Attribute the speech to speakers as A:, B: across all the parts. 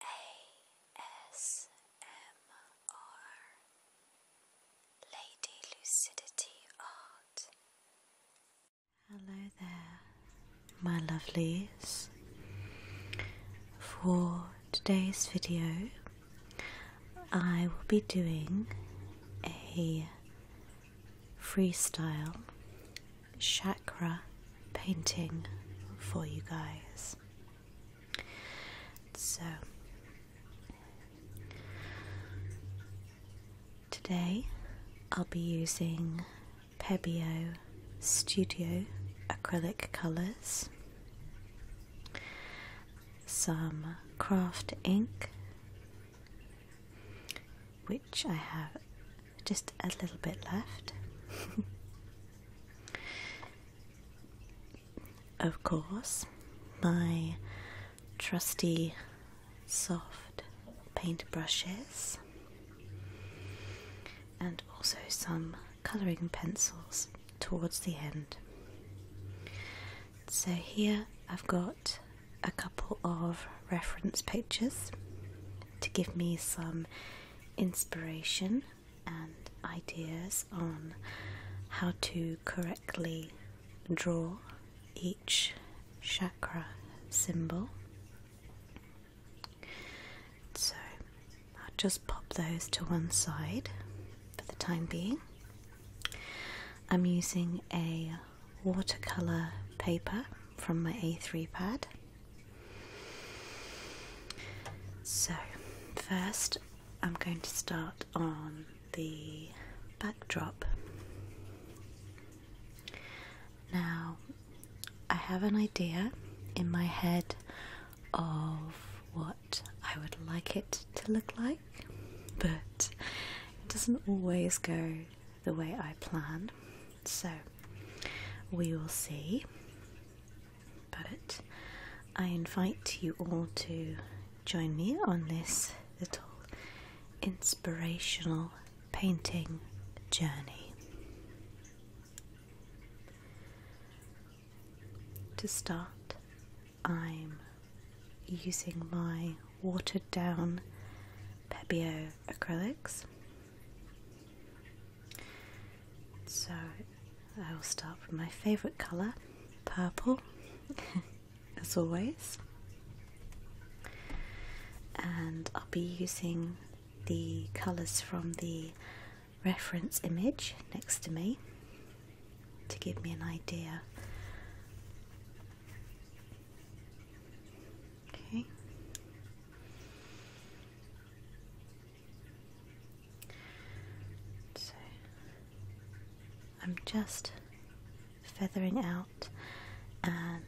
A: ASMR Lady Lucidity Art. Hello there, my lovelies. For today's video, I will be doing a freestyle chakra painting for you guys. So, today I'll be using Pebbio Studio acrylic colours, some craft ink, which I have just a little bit left. of course, my trusty soft paint brushes and also some colouring pencils towards the end. So here I've got a couple of reference pictures to give me some inspiration and ideas on how to correctly draw each chakra symbol. So I'll just pop those to one side for the time being. I'm using a watercolour paper from my A3 pad. So, first I'm going to start on the backdrop. Now, I have an idea in my head of what I would like it to look like, but it doesn't always go the way I planned. So we will see. But I invite you all to join me on this little inspirational painting journey. To start, I'm using my watered down Pebio acrylics so I will start with my favourite colour, purple, as always. And I'll be using the colours from the reference image next to me to give me an idea Okay. So I'm just feathering out and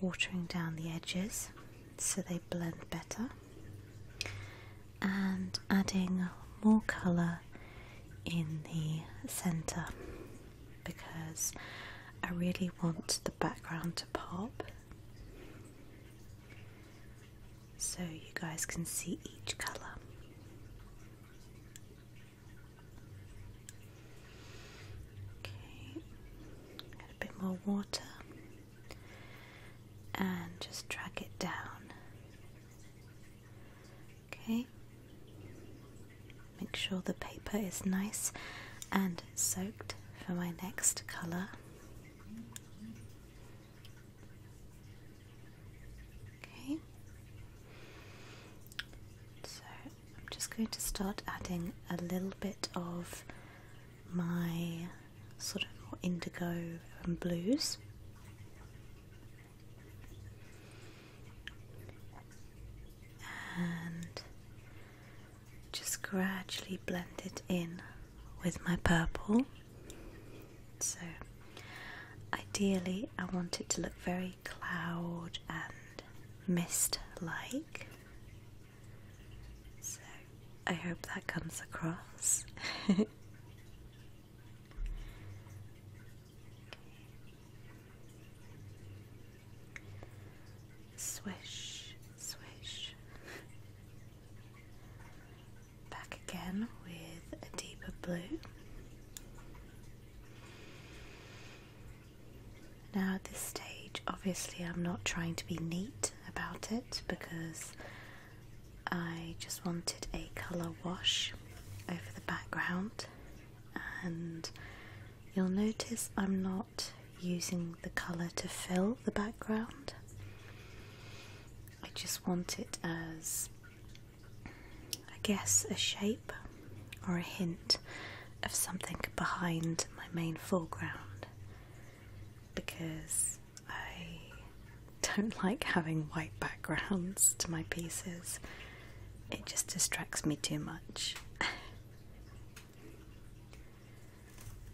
A: watering down the edges so they blend better and adding more colour in the centre because I really want the background to pop so you guys can see each color. Okay, a bit more water and just track it down. Okay, make sure the paper is nice and soaked for my next colour. Okay, so I'm just going to start adding a little bit of my sort of more indigo and blues. And just gradually blend it in with my purple. So, ideally, I want it to look very cloud and mist like. So, I hope that comes across. Swish, swish. Back again with a deeper blue. Now, at this stage, obviously, I'm not trying to be neat about it because I just wanted a colour wash over the background, and you'll notice I'm not using the colour to fill the background. I just want it as, I guess, a shape or a hint of something behind my main foreground because I don't like having white backgrounds to my pieces, it just distracts me too much.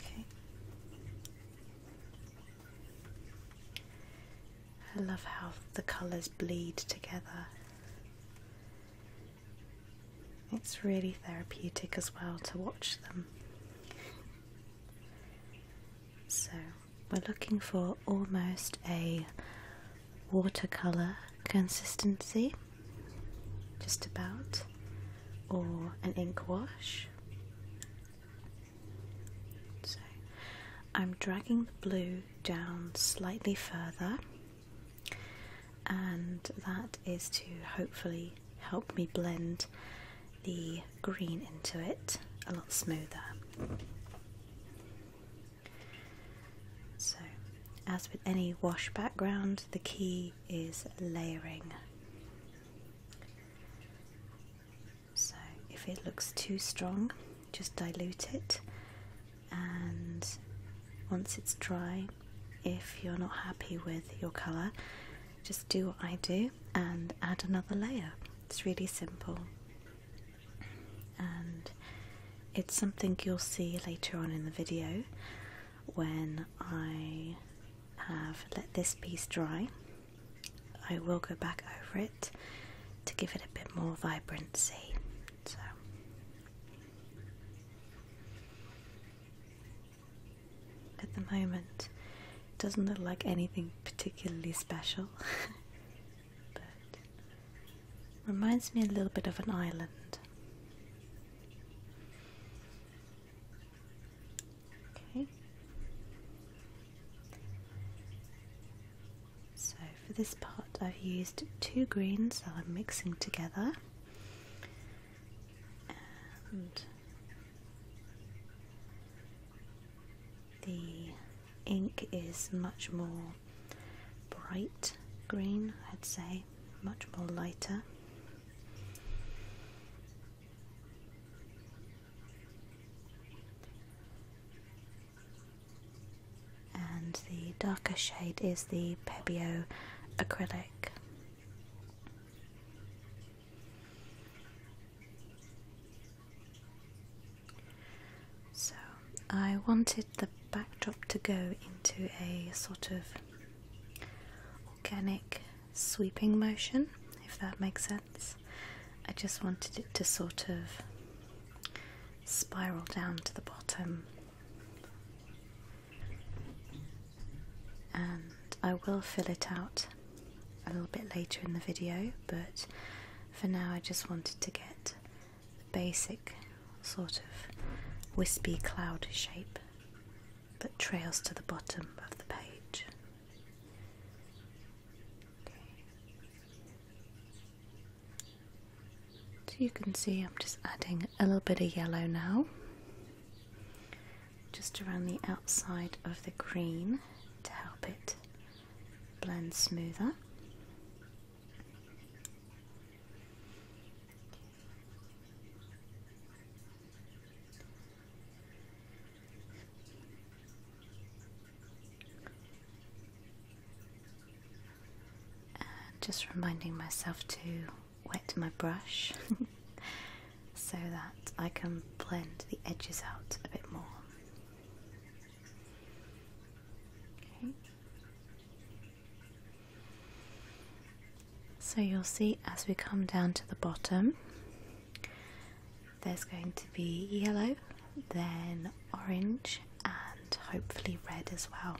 A: Okay. I love how the colours bleed together. It's really therapeutic as well to watch them. So, we're looking for almost a watercolour consistency just about, or an ink wash. So I'm dragging the blue down slightly further, and that is to hopefully help me blend the green into it a lot smoother. So, as with any wash background, the key is layering. So, if it looks too strong, just dilute it, and once it's dry, if you're not happy with your colour, just do what I do and add another layer. It's really simple. And it's something you'll see later on in the video when I have let this piece dry. I will go back over it to give it a bit more vibrancy. So. At the moment, it doesn't look like anything particularly special, but Reminds me a little bit of an island. Okay. So for this part, I've used two greens that I'm mixing together, and the ink is much more bright green, I'd say, much more lighter. And the darker shade is the Pebbio acrylic. So I wanted the backdrop to go into a sort of organic sweeping motion, if that makes sense. I just wanted it to sort of spiral down to the bottom. And I will fill it out a little bit later in the video, but for now I just wanted to get the basic sort of wispy cloud shape that trails to the bottom of the page. So you can see I'm just adding a little bit of yellow now, just around the outside of the green to help it blend smoother just reminding myself to wet my brush so that I can blend the edges out a bit more. Okay. So you'll see as we come down to the bottom, there's going to be yellow, then orange, and hopefully red as well.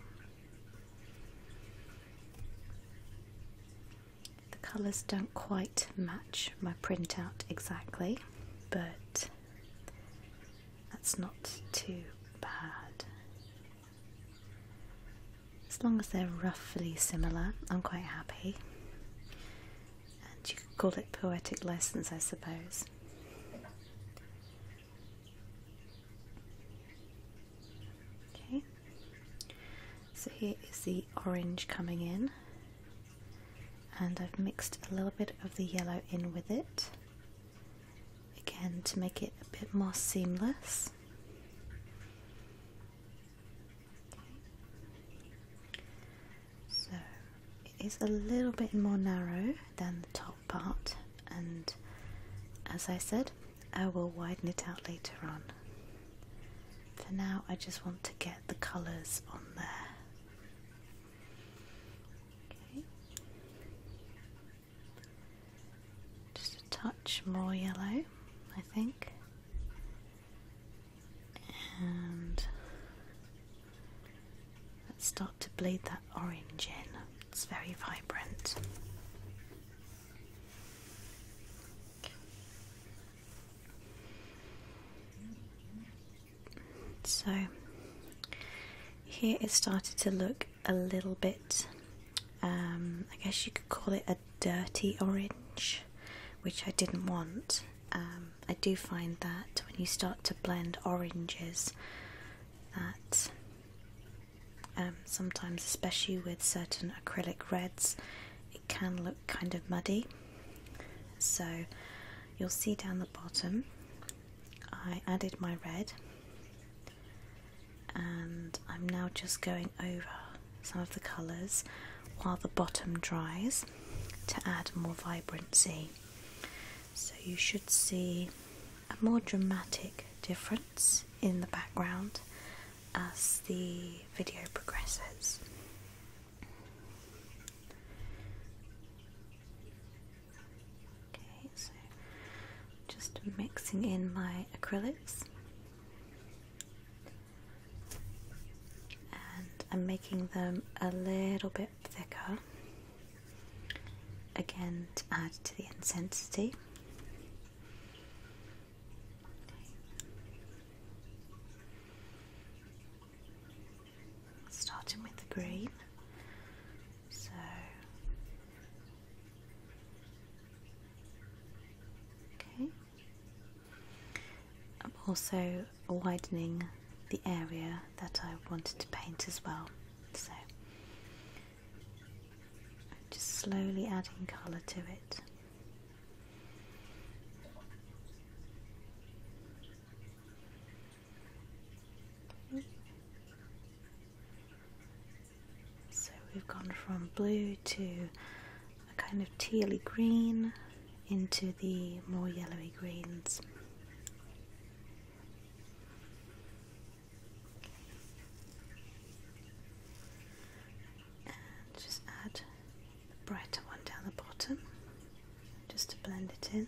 A: The colours don't quite match my printout exactly, but that's not too bad. As long as they're roughly similar, I'm quite happy. And you could call it poetic lessons, I suppose. Okay, so here is the orange coming in, and I've mixed a little bit of the yellow in with it again to make it a bit more seamless. So it is a little bit more narrow than the top part, and as I said, I will widen it out later on. For now, I just want to get the colours on there. Just a touch more yellow, I think. And let's start to bleed that orange in. It's very vibrant. So here it started to look a little bit, um, I guess you could call it a dirty orange, which I didn't want. Um, I do find that when you start to blend oranges, that um, sometimes, especially with certain acrylic reds, it can look kind of muddy. So you'll see down the bottom I added my red and I'm now just going over some of the colours while the bottom dries to add more vibrancy. So you should see a more dramatic difference in the background as the video progresses. Okay, so just mixing in my acrylics. And I'm making them a little bit thicker again to add to the intensity starting with the green. So okay. I'm also widening the area that I wanted to paint as well. So I'm just slowly adding colour to it. So we've gone from blue to a kind of tealy green into the more yellowy greens. And just add the brighter one down the bottom just to blend it in.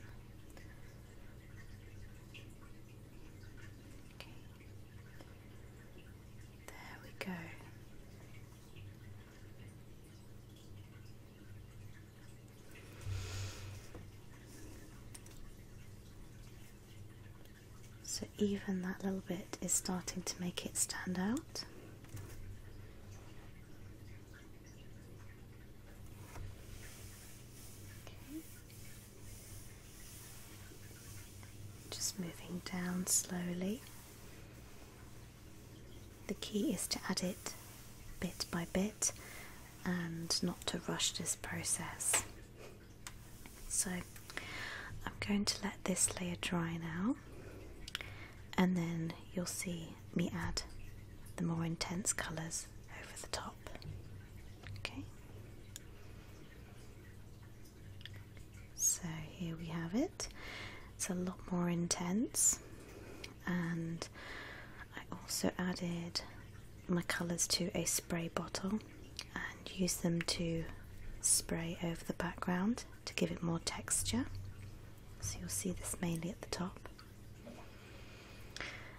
A: There we go. So even that little bit is starting to make it stand out. Just moving down slowly. The key is to add it bit by bit and not to rush this process. So I'm going to let this layer dry now and then you'll see me add the more intense colours over the top. Okay. So here we have it. It's a lot more intense, and I also added my colours to a spray bottle and used them to spray over the background to give it more texture. So you'll see this mainly at the top.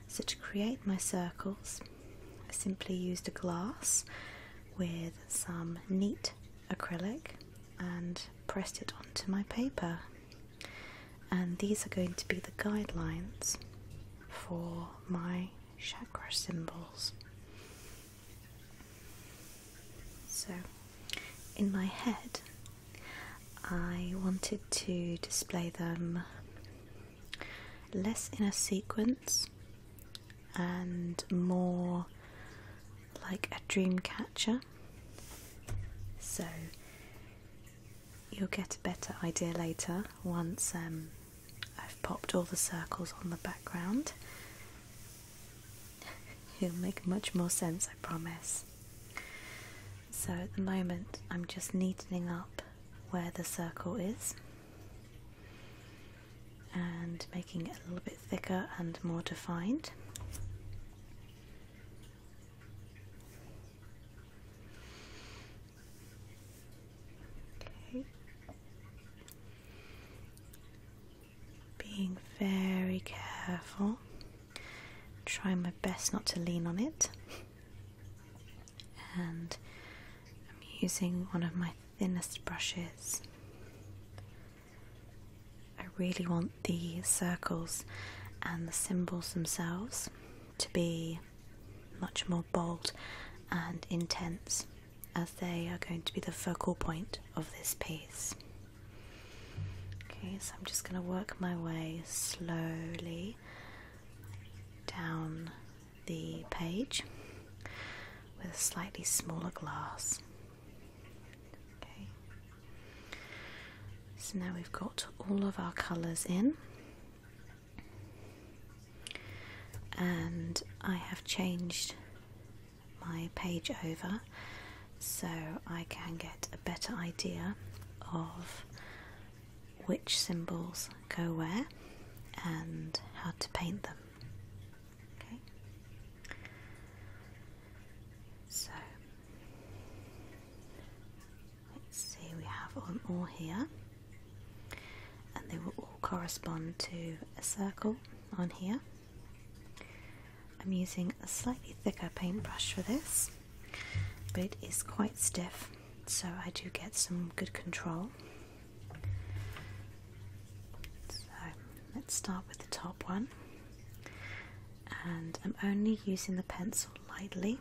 A: So to create my circles, I simply used a glass with some neat acrylic and pressed it onto my paper. And these are going to be the guidelines for my chakra symbols. So, in my head, I wanted to display them less in a sequence and more like a dream catcher. So you'll get a better idea later once um, I've popped all the circles on the background. It'll make much more sense, I promise. So at the moment I'm just neatening up where the circle is and making it a little bit thicker and more defined. Okay. Being very careful trying my best not to lean on it. and I'm using one of my thinnest brushes. I really want the circles and the symbols themselves to be much more bold and intense as they are going to be the focal point of this piece. Okay, so I'm just going to work my way slowly down the page with a slightly smaller glass. Okay, so now we've got all of our colours in. And I have changed my page over so I can get a better idea of which symbols go where and how to paint them. Okay. So let's see, we have all here, and they will all correspond to a circle on here. I'm using a slightly thicker paintbrush for this, but it is quite stiff, so I do get some good control. So let's start with the top one, and I'm only using the pencil lightly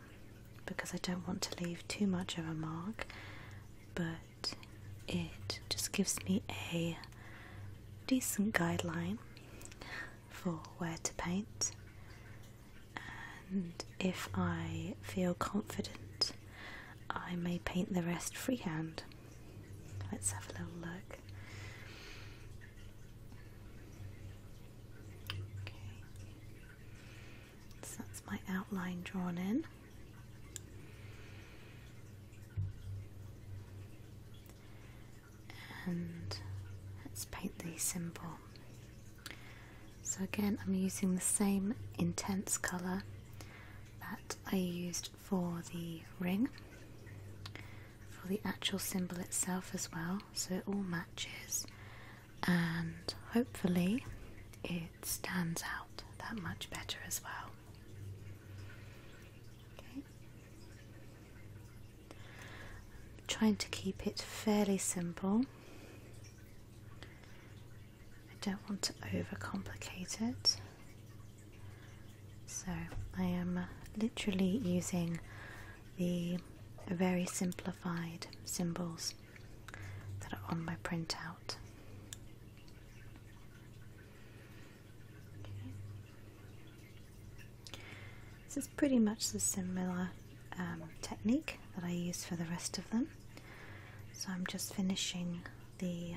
A: because I don't want to leave too much of a mark, but it just gives me a decent guideline for where to paint, and if I feel confident, I may paint the rest freehand. Let's have a little look. so that's my outline drawn in and let's paint the symbol. So again I'm using the same intense colour that I used for the ring for the actual symbol itself as well so it all matches and hopefully it stands out that much better as well. Okay. I'm trying to keep it fairly simple. I don't want to overcomplicate it. So I am literally using the very simplified symbols that are on my printout. This is pretty much the similar um, technique that I use for the rest of them. So I'm just finishing the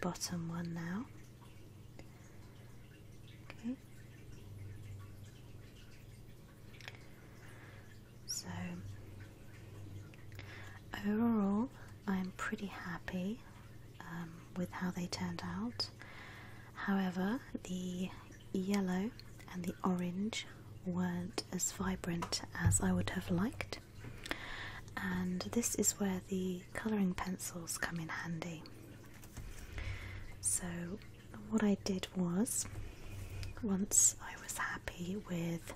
A: bottom one now. So overall, I'm pretty happy um, with how they turned out. However, the yellow and the orange weren't as vibrant as I would have liked, and this is where the colouring pencils come in handy. So, what I did was once I was happy with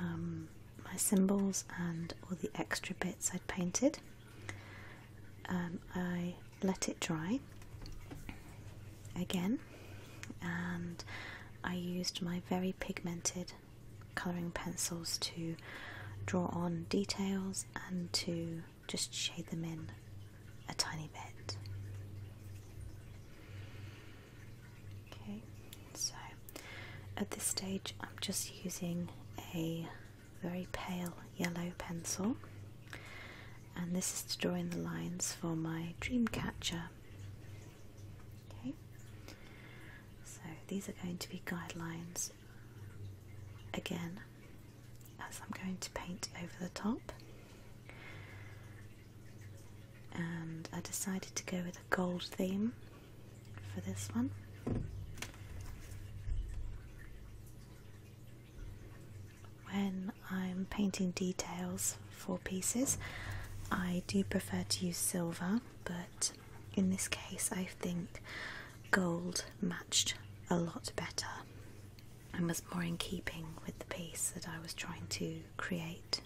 A: um, my symbols and all the extra bits I'd painted, um, I let it dry again and I used my very pigmented colouring pencils to draw on details and to just shade them in a tiny bit. Okay, so at this stage I'm just using a very pale yellow pencil, and this is to draw in the lines for my dream catcher. Okay, so these are going to be guidelines again, as I'm going to paint over the top. And I decided to go with a gold theme for this one. When I'm painting details for pieces, I do prefer to use silver, but in this case, I think gold matched a lot better and was more in keeping with the piece that I was trying to create.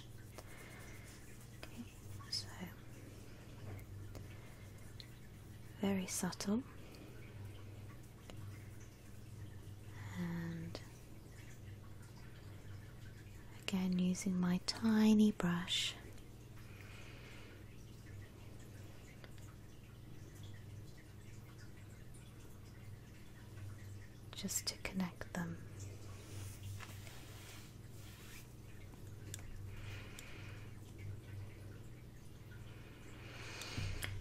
A: Okay, so very subtle and again using my tiny brush just to connect them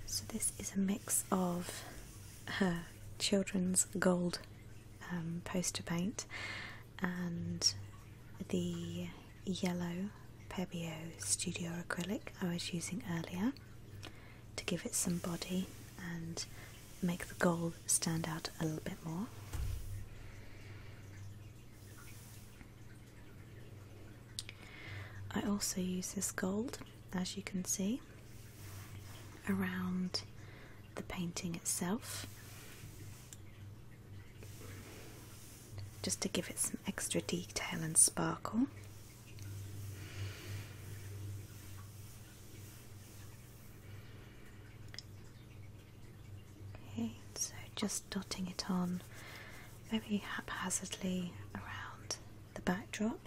A: so, this is a mix of her children's gold um, poster paint and the yellow Pebbio Studio acrylic I was using earlier to give it some body and make the gold stand out a little bit more. I also use this gold, as you can see, around the painting itself just to give it some extra detail and sparkle. Okay, so just dotting it on very haphazardly around the backdrop.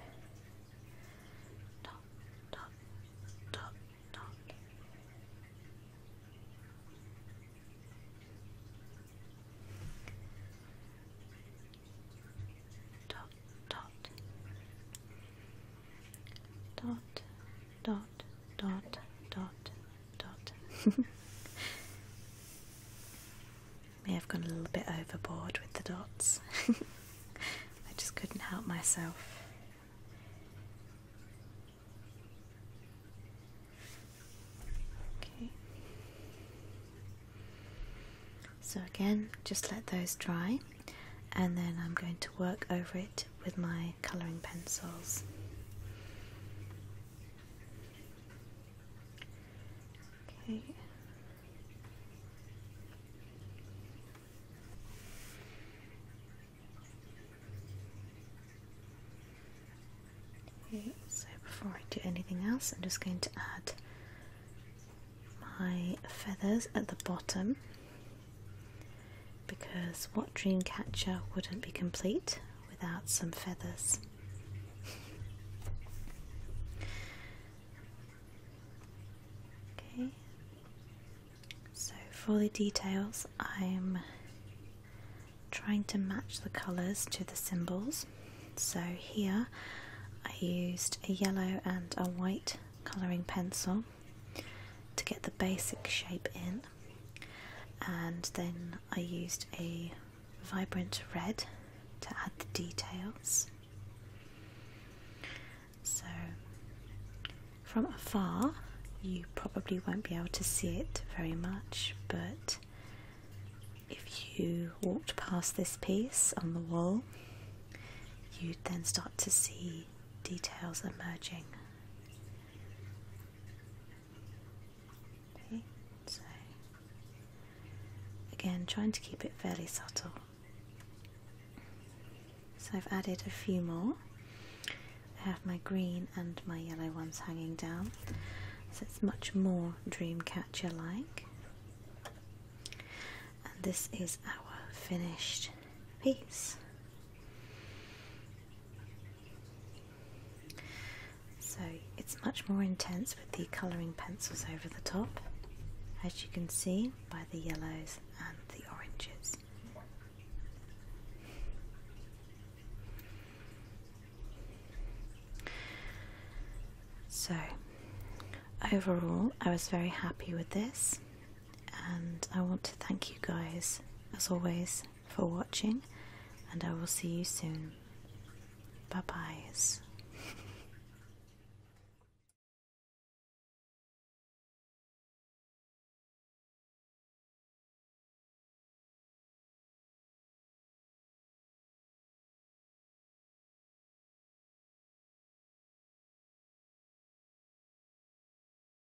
A: Dot, dot, dot, dot. Dot, dot. Dot, dot, dot, dot, dot. May have gone a little bit overboard with the dots. I just couldn't help myself. Okay. So again, just let those dry, and then I'm going to work over it with my colouring pencils. Okay. Okay, so before I do anything else, I'm just going to add my feathers at the bottom because what dream catcher wouldn't be complete without some feathers? okay, so for the details, I'm trying to match the colours to the symbols. So here I used a yellow and a white colouring pencil to get the basic shape in and then I used a vibrant red to add the details. So from afar you probably won't be able to see it very much but if you walked past this piece on the wall you'd then start to see details emerging so again, trying to keep it fairly subtle. So I've added a few more. I have my green and my yellow ones hanging down, so it's much more Dreamcatcher like. And this is our finished piece. So it's much more intense with the colouring pencils over the top, as you can see by the yellows and the oranges. So, overall, I was very happy with this, and I want to thank you guys, as always, for watching, and I will see you soon. Bye byes.